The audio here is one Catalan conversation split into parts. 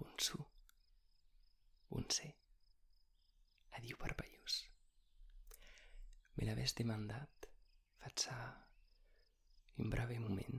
un su, un se. Adiu parpellús. Me l'havés demandat, faig un breve moment,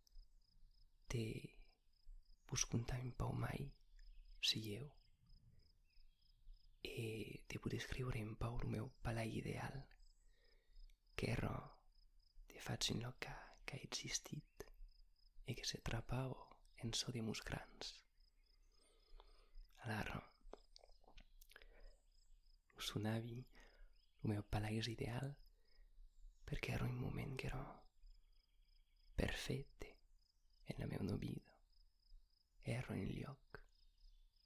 Te buscuntami pe mai și eu. E te pot escriure în pau meu palai ideal, Quiero de faig en que, que ha existit i e que se trapau en so de muscrans. us Usunavi il mio paese ideale, perché ero in un momento che ero perfetto nella mia nobida, ero in gli occhi,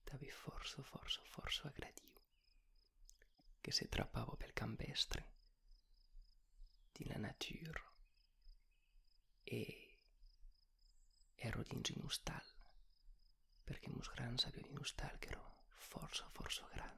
d'avi forso, forso, forso aggradio, que se trappavo pel campestre, de la natura, e ero dins in un stall, perché mos gran sapio di un stall que ero forso, forso gran,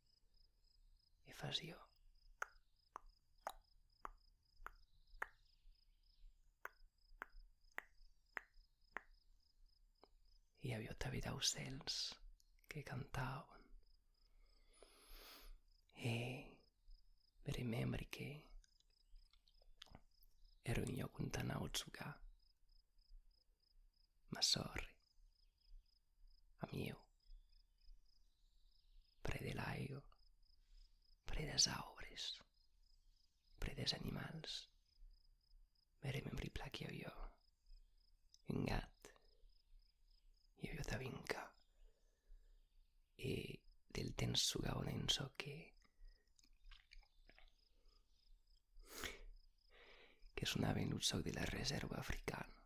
evasió. Hi havia vida ocells que cantaven. E remembri che ero in Yokuntana Otsuga. Ma sorry. Amieu. pre de l'aigua, pre dels arbres, pre dels animals. Verem en riplar que jo. havia un gat, hi i del temps sugava un enso que que sonaven un soc de la reserva africana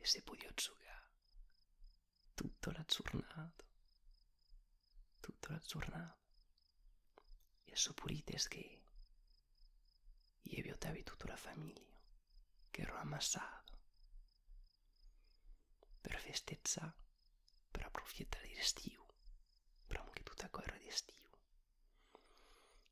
E se voglio giocare tutta la giornata, tutta la giornata, e supponete che io vi ottavi tutta la famiglia che ero ammassato per festeggiare, per aprofitar d'estiu, estivo, per anche tutta la guerra di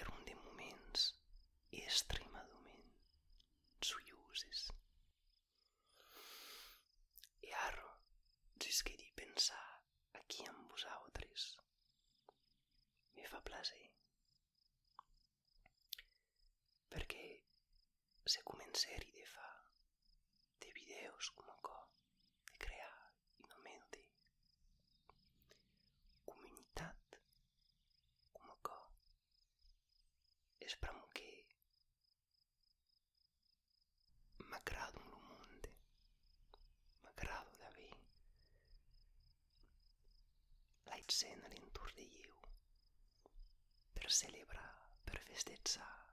era un dei moments estremamente gioiosi. E arro, gesqué di pensar aquí amb vosaltres. Me fa plaser. Perquè se començar-hi de fa de vídeos com a cop, de crear i no mente. Comunitat como que espremo che mi aggrado lo monte, mi aggrado da bene la scena all'intorno per celebrar per festeggiare,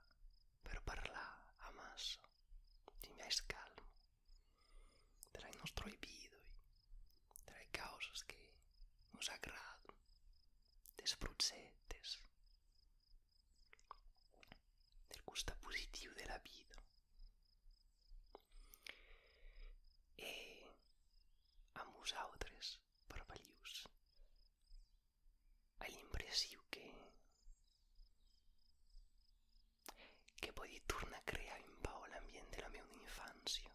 per parlar a massa, di miei trae-nos proibido e trae causas que nos agradam, desprozzettes del gusto positivo della vita. E a nosaltres, per valius, a l'impressió que que podia tornar a crear en pau l'ambient de la meva infància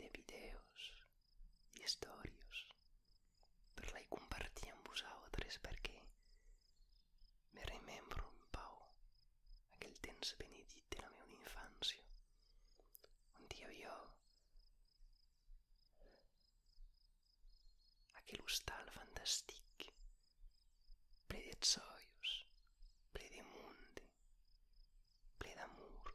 de videos i stories per lei compartir amb vosaltres perquè me remembro en pau aquell temps benedit de la meva infància on hi havia aquell hostal fantàstic ple de zoios, ple de munt, ple d'amor,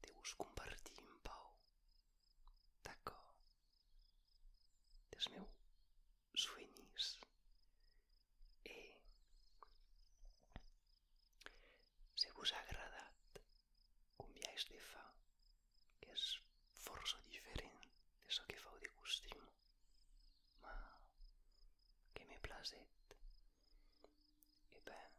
Deus convertir en pau. Taco dels meus sueñis. E se vos ha agradat un viatge de fa que és força diferent de so que feu de costum, ma que m'he plaset, e ben,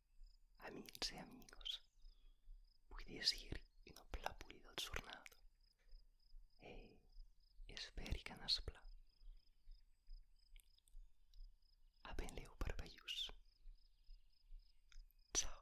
Amici e amigos, vull decir un aplaudido jornada. E esperi que n'esplà. Apenleu per veiús. Ciao.